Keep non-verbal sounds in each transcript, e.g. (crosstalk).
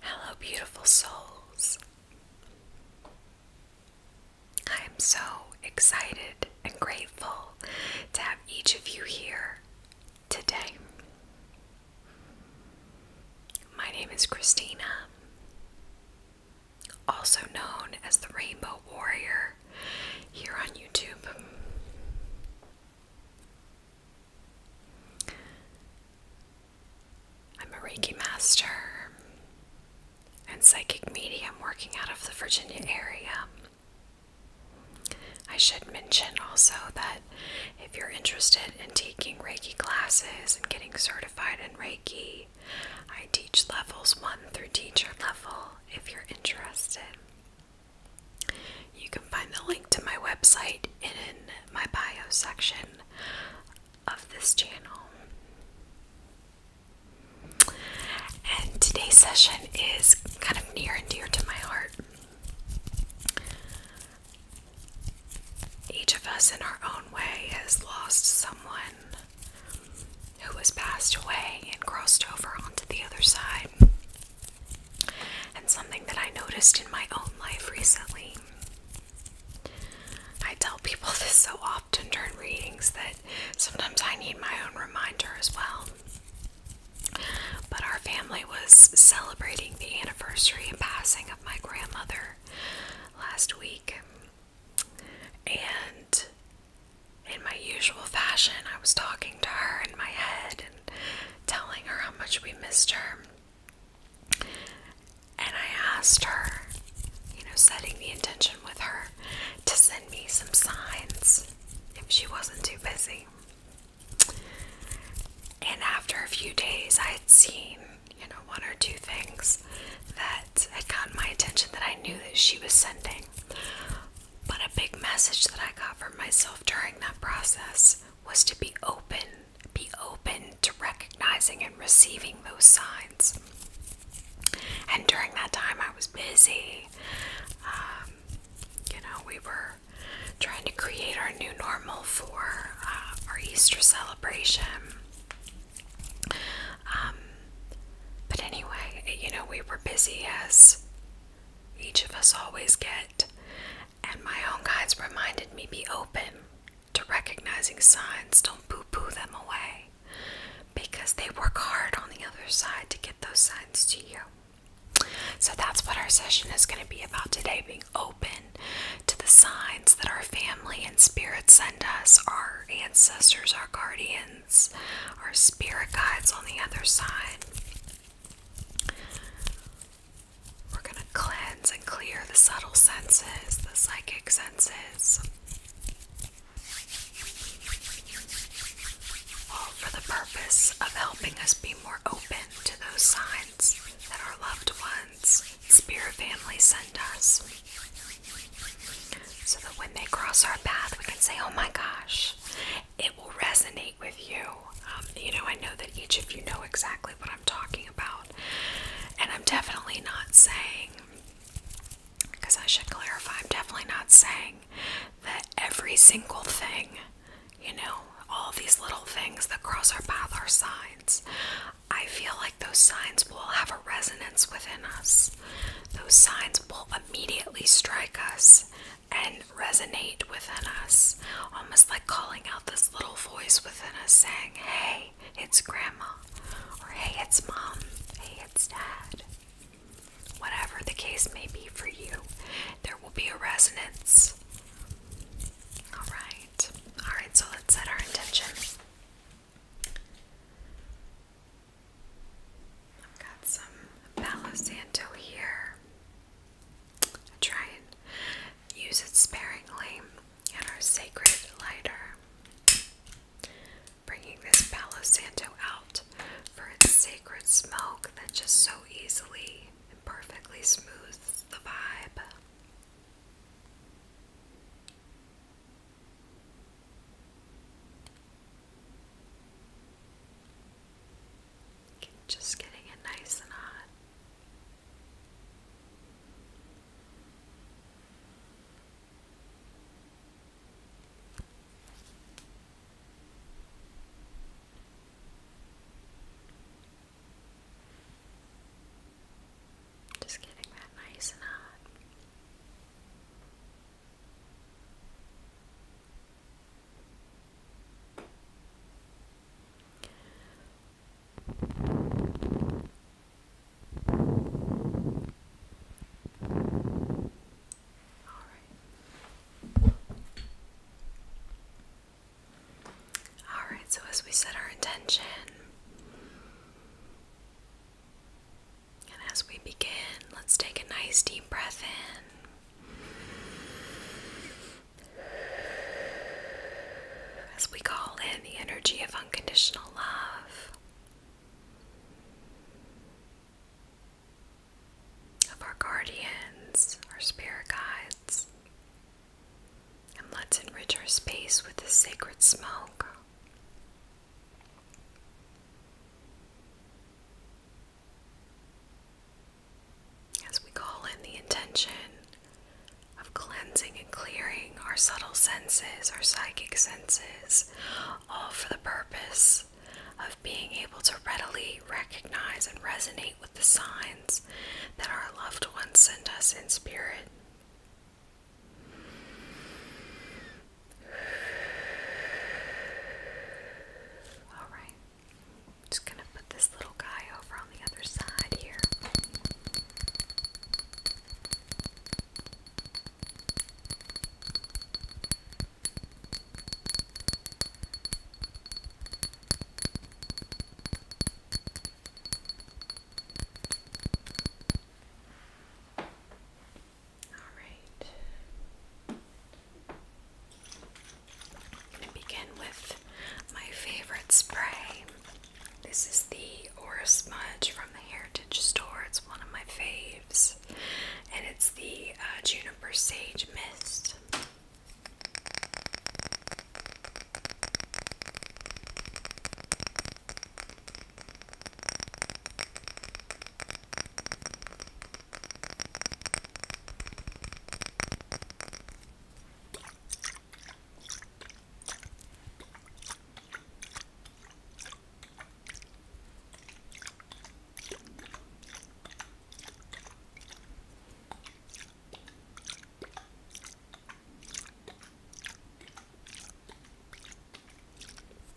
Hello, beautiful souls. I am so excited and grateful to have each of you here today. My name is Christina, also known as the Rainbow Warrior, here on YouTube. I'm a Reiki master and psychic medium working out of the Virginia area. I should mention also that if you're interested in taking Reiki classes and getting certified in Reiki, I teach levels 1 through teacher level if you're interested. You can find the link to my website in my bio section of this channel. And today's session is kind of near and dear to my heart. Each of us, in our own way, has lost someone who has passed away and crossed over onto the other side. And something that I noticed in my own life recently. I tell people (laughs) this so often during readings that sometimes I need my own reminder as well. But our family was celebrating the anniversary and passing of my grandmother last week. And in my usual fashion, I was talking to her in my head telling her how much we missed her. And I asked her, you know, setting the intention with her to send me some signs if she wasn't too busy. And after a few days, I had seen, you know, one or two things that had caught my attention that I knew that she was sending. But a big message that I got for myself during that process was to be open, be open to recognizing and receiving those signs. And during that time, I was busy. Um, you know, we were trying to create our new normal for uh, our Easter celebration. Um, but anyway, you know, we were busy as each of us always get and my own guides reminded me be open to recognizing signs. Don't poo poo them away because they work hard on the other side to get those signs to you. So that's what our session is going to be about today being open to the signs that our family and spirits send us, our ancestors, our guardians, our spirit guides on the other side. We're going to cleanse and clear the subtle senses, the psychic senses. for the purpose of helping us be more open to those signs that our loved ones, spirit family, send us. So that when they cross our path, we can say, Oh my gosh, it will resonate with you. Um, you know, I know that each of you know exactly what I'm talking about, and I'm definitely not saying, because I should clarify, I'm definitely not saying that every single thing, you know, all these little things that cross our path are signs. I feel like those signs will have a resonance within us. Those signs will immediately strike us and resonate within us. Almost like calling out this little voice within us saying, Hey, it's grandma, or hey, it's mom, hey, it's dad. Whatever the case may be for you, there will be a resonance. Alright, alright, so let's set our intention. I've got some Palo Santo here. Try and use it sparingly. And our sacred lighter. Bringing this Palo Santo out for its sacred smoke that just so easily and perfectly smooths the vibe. Just getting it nice and hot. Just getting that nice and hot. All right. so as we set our intention, and as we begin, let's take a nice deep breath in. As we call in the energy of unconditional love, of our guardians, our spirit guides, and let's enrich our space with the sacred smoke. As we call in the intention of cleansing and clearing our subtle senses, our psychic senses, all for the purpose of being able to readily recognize and resonate with the signs that our loved ones send us in spirit. All right. I'm just gonna put this little guy over on the other side here. All right. I'm gonna begin with my favorite spray. This is the Aura Smudge from the Heritage Store. It's one of my faves, and it's the uh, Juniper Sage Mist.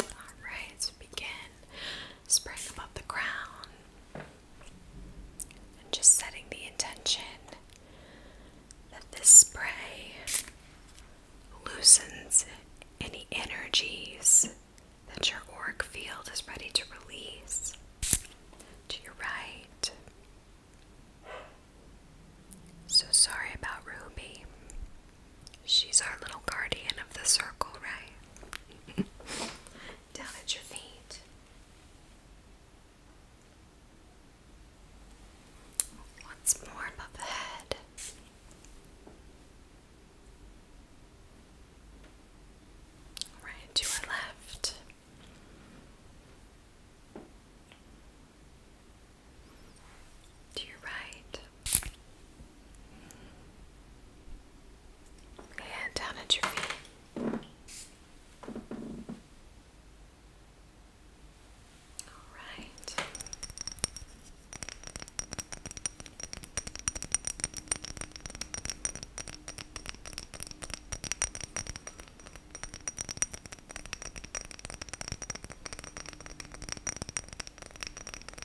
All right, begin spraying above the ground. And just setting the intention that this spray loosens any energies that your auric field is ready to release to your right. So sorry about Ruby. She's our little guardian of the circle, right? Down at your feet. Once more above the head. Right to our left. To your right and down at your feet. All right.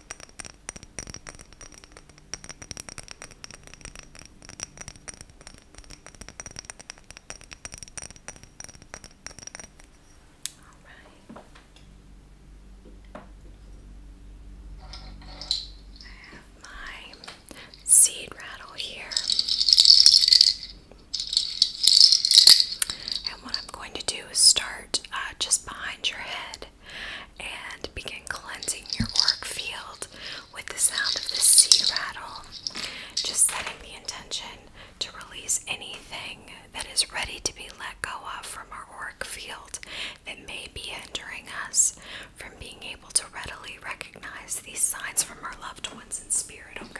All right. I have my seed rattle here. And what I'm going to do is start uh, just behind your head and begin cleansing your auric field with the sound of the sea rattle. Just setting the intention to release anything that is ready to be let go of from our auric field that may be hindering us from being able to readily recognize these signs from our loved ones in spirit, okay?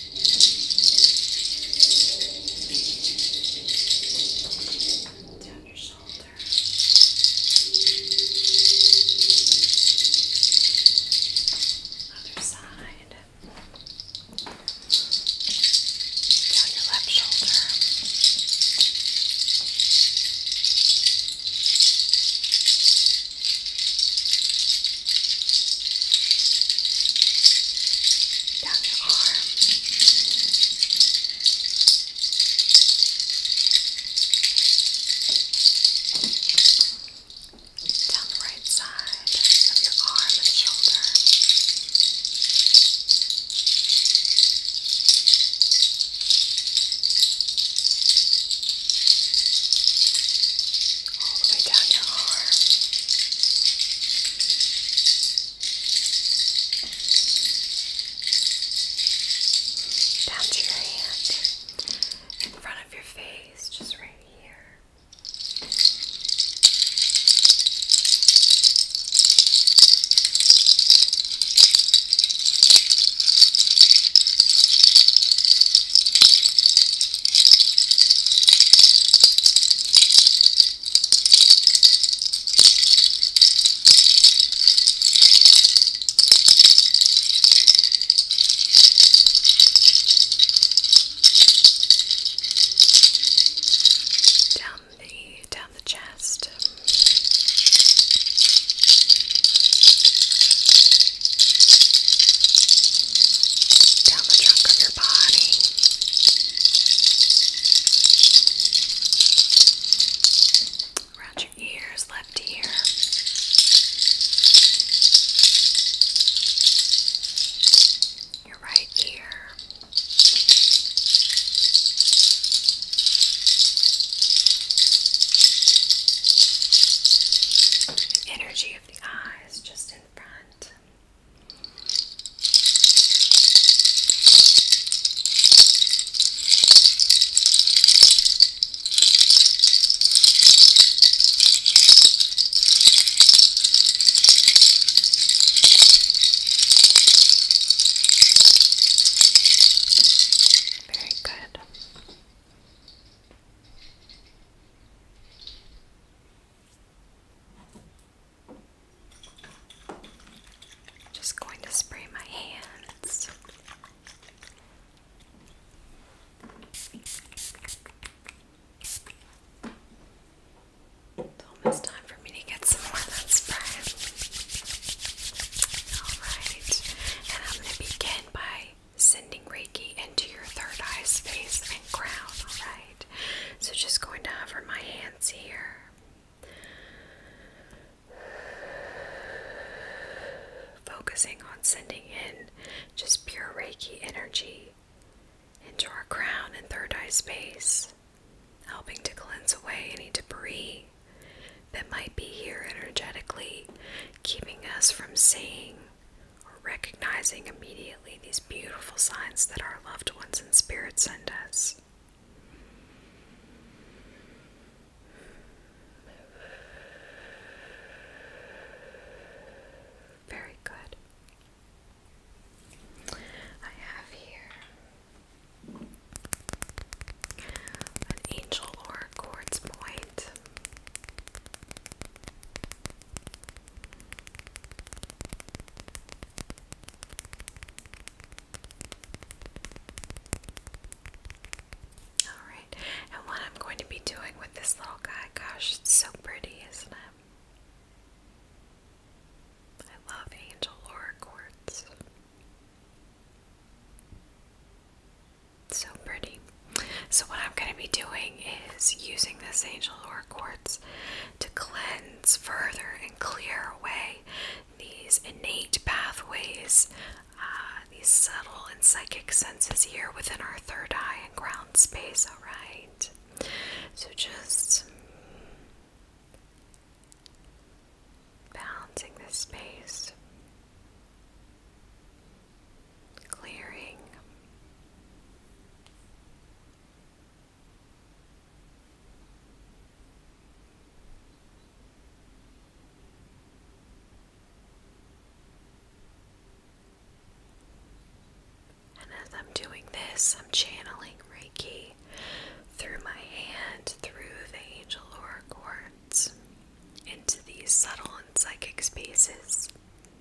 Down your shoulder. Other side. Down your left shoulder. Down down your arm. Down the right side of your arm and shoulder all the way down your arm. Down to your hand. In front of your face, just right here. Down the down the chest down the trunk of your body. Around your ears, left ear. Your right ear. energy of the eyes just in in front. Very good. Just going to spray my hands. It's almost time for me to get some more of that spray. Alright, and I'm going to begin by sending Reiki into your third eye space and crown, alright? So just going to hover my hands here. Focusing on sending in just pure Reiki energy into our crown and third eye space, helping to cleanse away any debris that might be here energetically, keeping us from seeing recognizing immediately these beautiful signs that our loved ones and spirit send us. Very good. I have here an angel or quartz point. Alright, and what I'm going to be doing with this little guy, gosh, it's so pretty, isn't it? I love angel aura quartz. So pretty. So, what I'm going to be doing is using this angel or quartz to cleanse further and clear away these innate pathways, uh, these subtle and psychic senses here within our third eye and ground space. All right. So, just balancing this space clearing. And as I'm doing this, I'm channeling Reiki through my hand, through the angel aura cords, into these subtle and psychic spaces.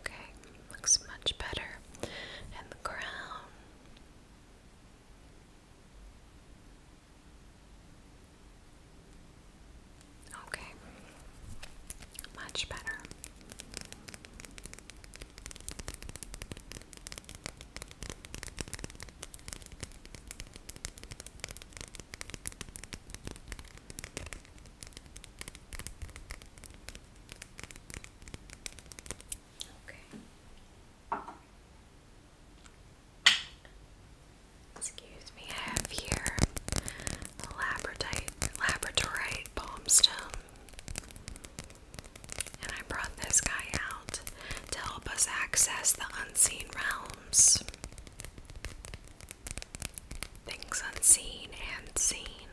Okay, looks much better. And the crown. Okay, much better. Excuse me, I have here a laboratory, labradorite palm stone. And I brought this guy out to help us access the unseen realms. Things unseen and seen.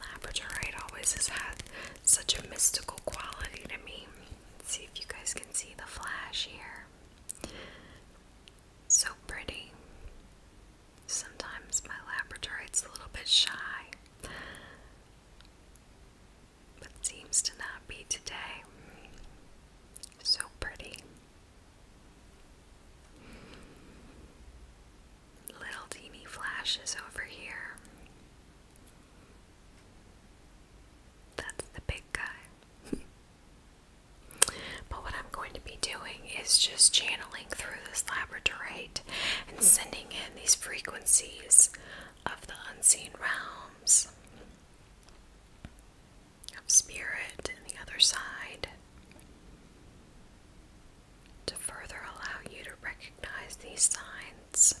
Labradorite always has had such a mystical quality to me. see if you guys can see the flash here. So pretty. Sometimes my labradorite's a little bit shy but seems to not be today. So pretty. Little teeny flashes over here. That's the big guy. (laughs) but what I'm going to be doing is just channeling through this labradorite and sending in these frequencies of the unseen realms, of spirit and the other side, to further allow you to recognize these signs.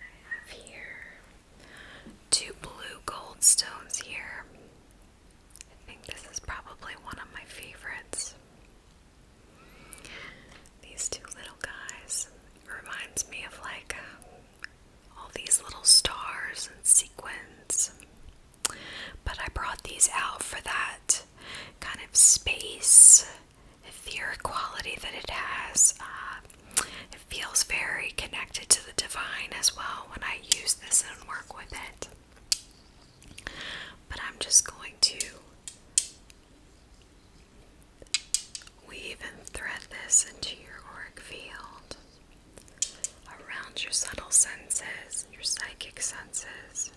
I have here two blue goldstones here. I think this is probably one of my favorites. These two little guys reminds me of like um, all these little stars and sequins. But I brought these out for that kind of space, fear quality that it has. Um, it feels very connected to the divine as well when I use this and work with it. But I'm just going to weave and thread this into your auric field around your subtle senses, your psychic senses,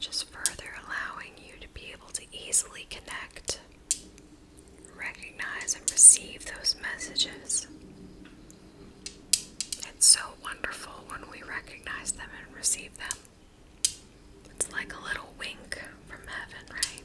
just further allowing you to be able to easily connect, recognize, and receive those messages. It's so wonderful when we recognize them and receive them. It's like a little wink from heaven, right?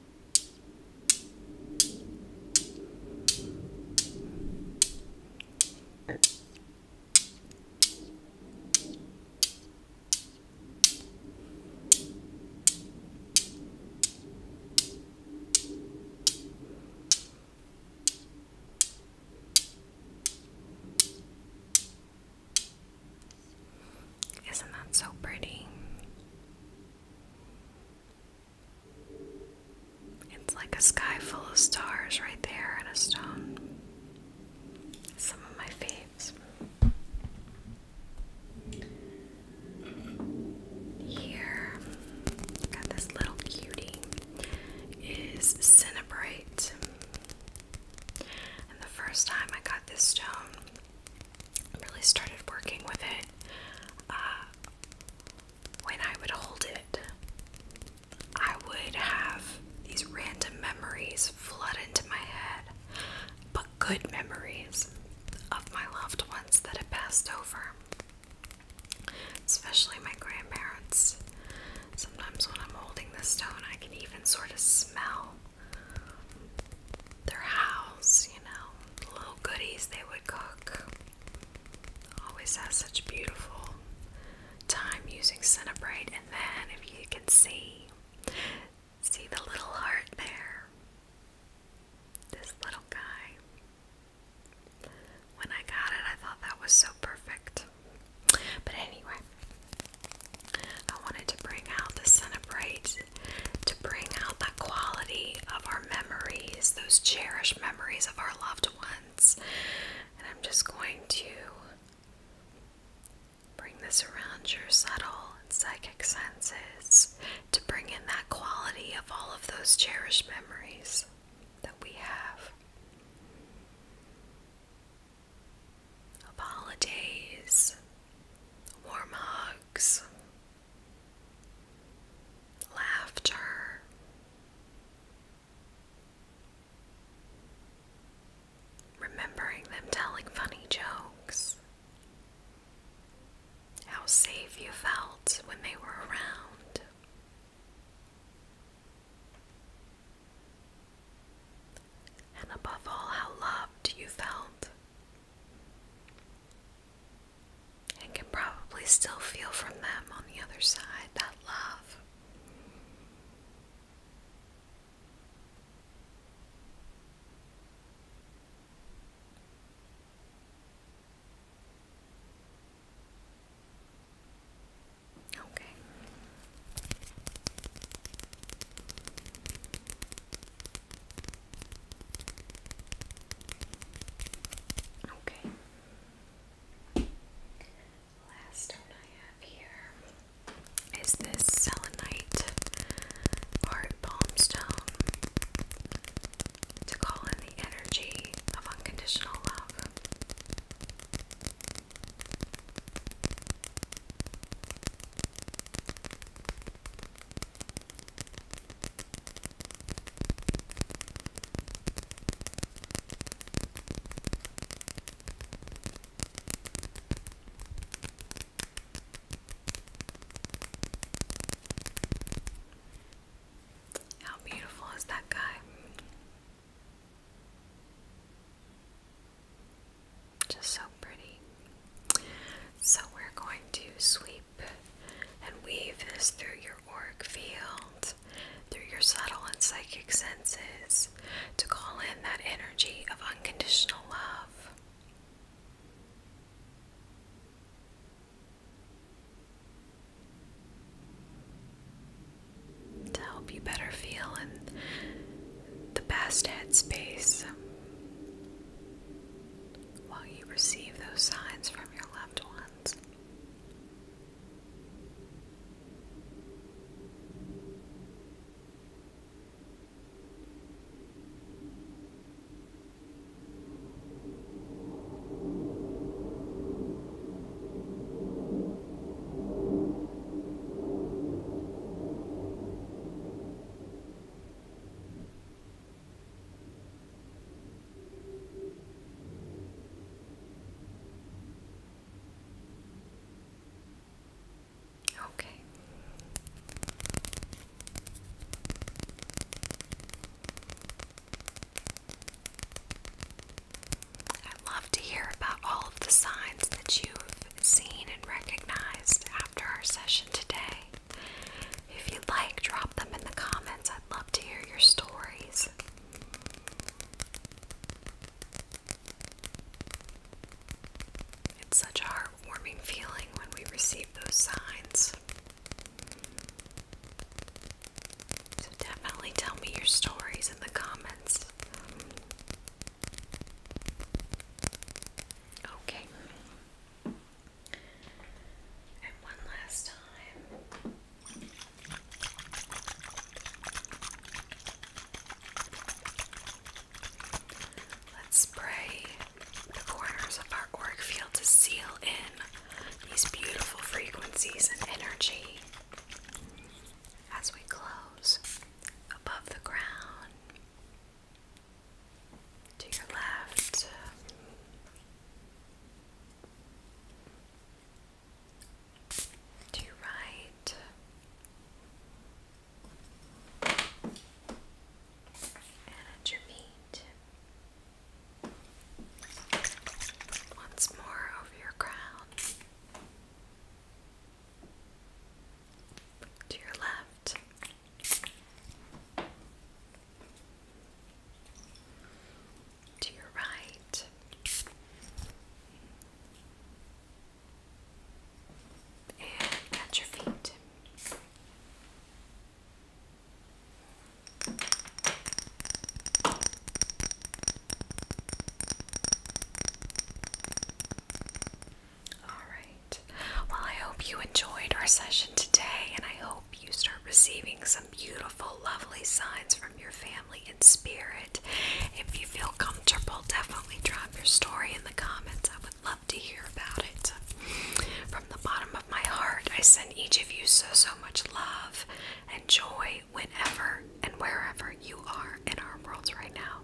Isn't that so pretty? It's like a sky full of stars right there in a stone. Some of my faves. Here, got this little cutie, is Cinnabrite. And the first time I got this stone, really started working with it uh, when I would hold it. I would have these random memories flood into my head, but good memories of my loved ones that had passed over, especially my grandparents. Sometimes when I'm holding the stone, I can even sort of smell their house, you know, little goodies they would cook. Always has such beautiful time using Cinebrite, and then if you can see, see the little heart there. This little guy. When I got it, I thought that was so perfect. But anyway, I wanted to bring out the Cinebrite to bring out that quality of our memories, those cherished memories of our loved ones. And I'm just going to bring this around your subtle and psychic senses to bring in that quality of all of those cherished memories that we have of holidays, warm hugs, laughter, remembering them telling funny jokes, how safe you felt when they were around. And above all, how loved you felt and can probably still feel from them on the other side that love. Okay. Okay. Last stone I have here is this selenite art palm stone to call in the energy of unconditional love. How beautiful is that guy? Just so pretty. So we're going to sweep and weave this through your auric field, through your subtle and psychic senses, to call in that energy of unconditional love. To help you better feel in the best headspace while you receive those signs from your loved ones. Okay. I'd love to hear about all of the signs that you seen and recognized after our session today. If you'd like, drop them in the comments. I'd love to hear your stories. It's such a heartwarming feeling when we receive those signs. So definitely tell me your stories in the comments. Okay. And one last time. Let's spray the corners of our auric field to seal in these beautiful frequencies and energy as we close above the ground to your left. To your right. And at your feet. Once more over your crown to your left. To your right, and at your feet. Alright. Well, I hope you enjoyed our session today, and I hope you start receiving some beautiful, lovely signs from your family and spirit. If you feel comfortable, definitely drop your story in the comments. I would love to hear about it. From the bottom of my heart, I send each of you so, so much love and joy whenever and wherever you are in our worlds right now.